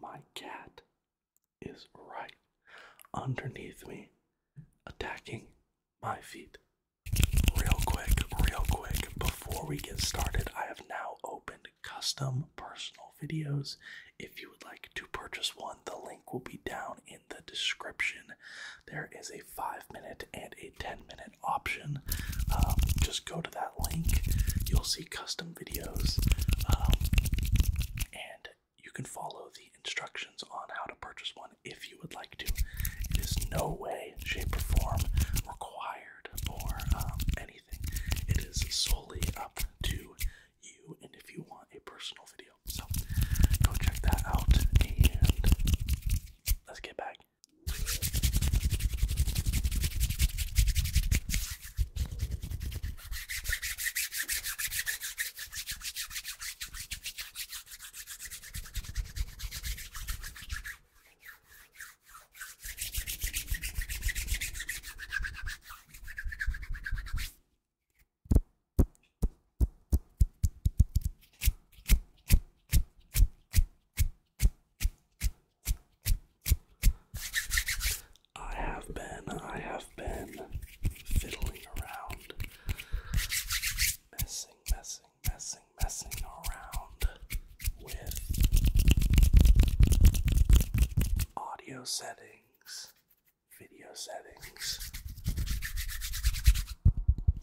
My cat is right underneath me, attacking my feet. Real quick, real quick, before we get started, I have now opened custom personal videos. If you would like to purchase one, the link will be down the description. There is a five minute and a 10 minute option. Um, just go to that link, you'll see custom videos, um, and you can follow the instructions on how to purchase one if you would like to. It is no way, shape, or form required or um, anything. It is solely up to you and if you want a personal video. So go check that out and Let's get back. I have been, I have been fiddling around, messing, messing, messing, messing around with audio settings, video settings,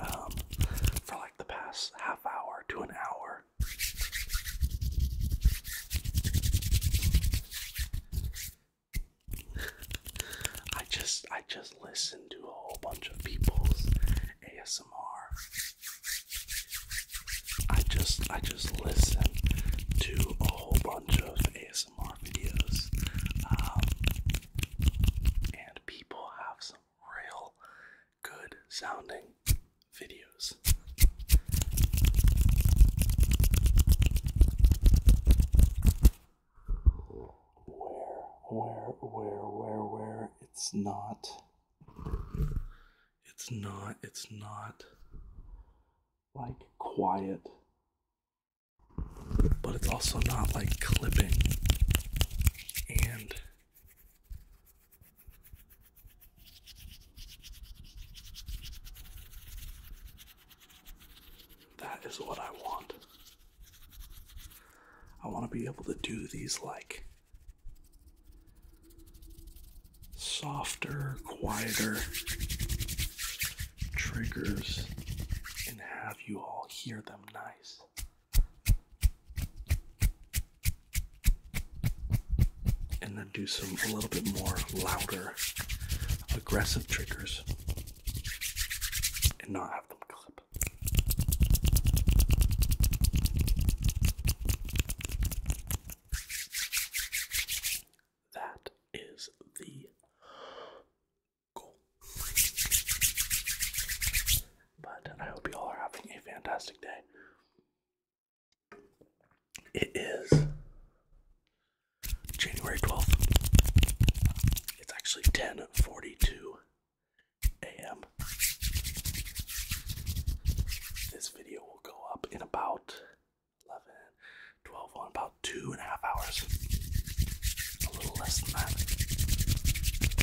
Um, for like the past half hour to an hour. I just I just listen to a whole bunch of people's ASMR. I just I just listen to a whole bunch of ASMR videos. Um, and people have some real good sounding videos. Where, where, where, where, where it's not. It's not, it's not like quiet, but it's also not like clipping and that is what I want. I want to be able to do these like softer, quieter triggers and have you all hear them nice and then do some a little bit more louder, aggressive triggers and not have them clip. That is the goal. But I hope you all are having a fantastic day. It is January 12th. It's actually 10:42 a.m. This video will go up in about eleven, twelve 12, on about two and a half hours. A little less than that.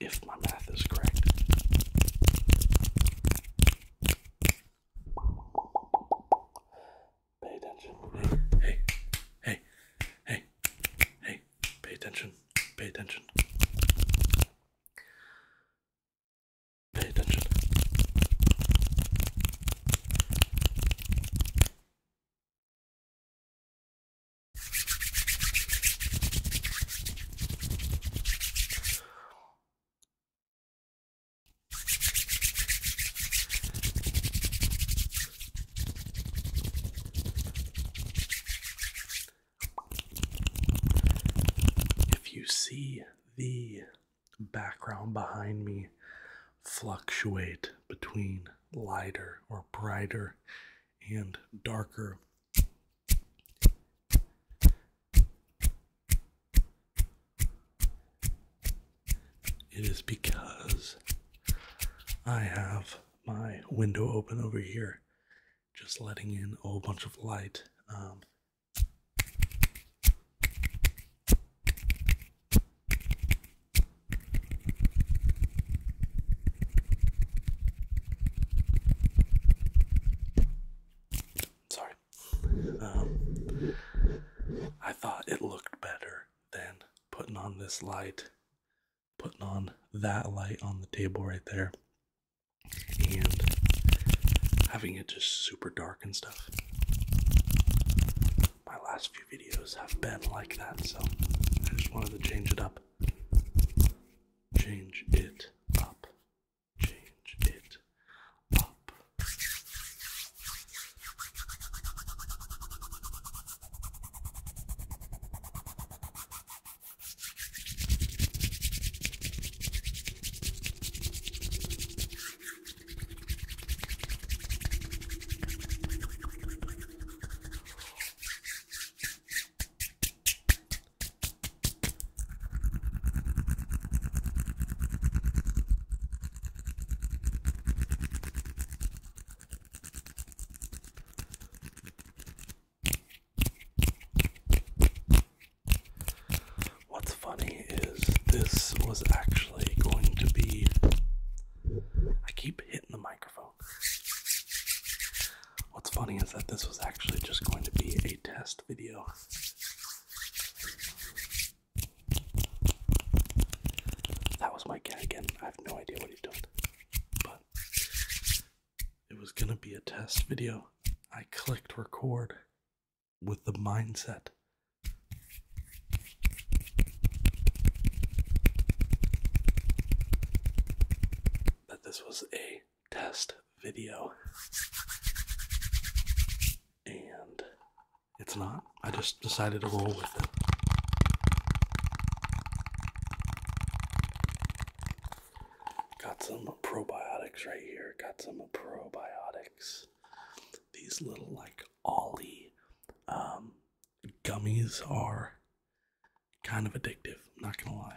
If my math is correct. Pay attention. Hey, hey, hey, hey, hey, pay attention, pay attention. Pay attention. If you see the background behind me fluctuate between lighter or brighter and darker. It is because I have my window open over here, just letting in a whole bunch of light. Um, Sorry. Um, I thought it looked better than putting on this light, putting on that light on the table right there, and having it just super dark and stuff. My last few videos have been like that, so I just wanted to change it up up. Change it up. Change it up. What's funny is this was actually going to be. I keep hitting the microphone. What's funny is that this was actually just going to be a test video. That was my cat again. I have no idea what he's doing. But it was going to be a test video. I clicked record with the mindset that this was a test video. And it's not. I just decided to go with it. Got some probiotics right here. Got some probiotics. These little like Ollie um, gummies are kind of addictive, I'm not gonna lie.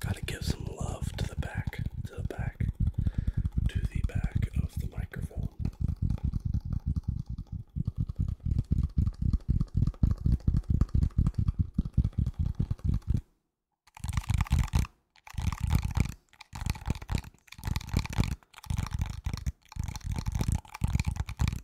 Gotta give some love to the back, to the back, to the back of the microphone.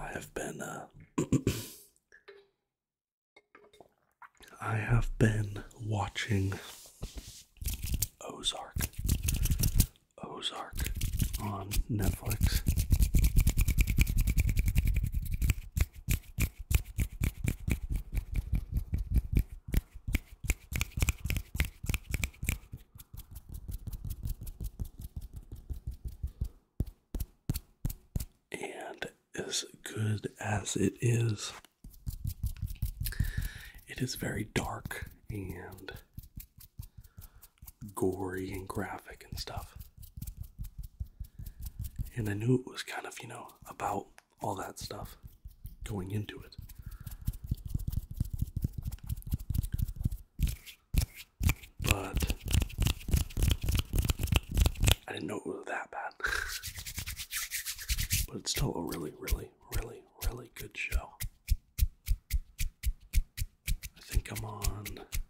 I have been, uh, I have been watching Ozark, Ozark on Netflix. And as good as it is, it is very dark and gory and graphic and stuff. And I knew it was kind of, you know, about all that stuff going into it. But I didn't know it was that bad. but it's still a really, really, really, really good show. I think I'm on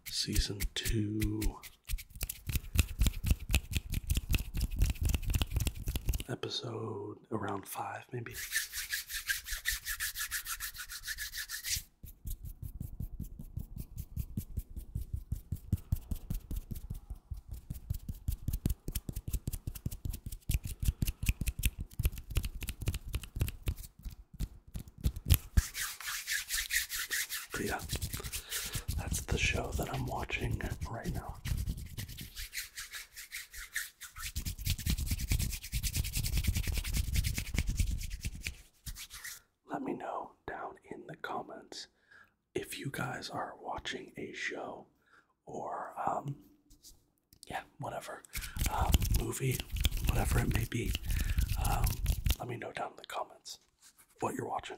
season two episode around five, maybe. yeah, that's the show that I'm watching right now. Let me know down in the comments if you guys are watching a show or, um, yeah, whatever, um, movie, whatever it may be. Um, let me know down in the comments what you're watching.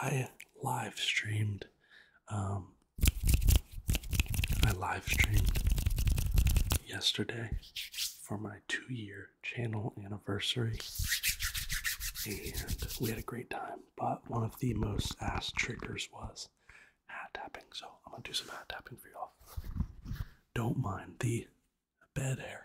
I live streamed. Um, I live streamed yesterday for my two year channel anniversary, and we had a great time but one of the most ass triggers was hat tapping. So I'm gonna do some hat tapping for y'all. Don't mind the bed hair.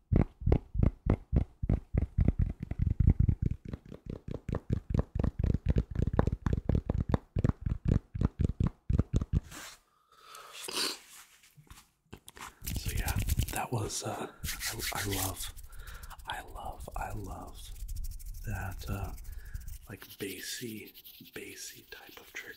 So yeah, that was uh, I, love, I love, I love that uh, like bassy, bassy type of trigger.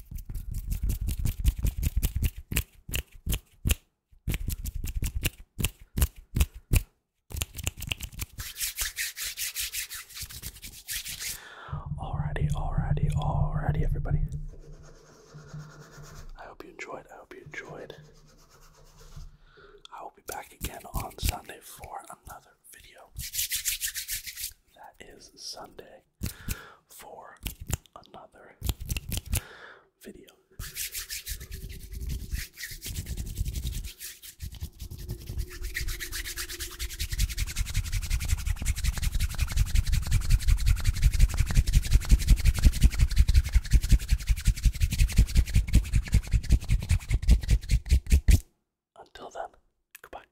Alrighty, alrighty, alrighty, everybody. I hope you enjoyed. I hope you enjoyed. I will be back again on Sunday for another video. That is Sunday for another video. Until then, goodbye.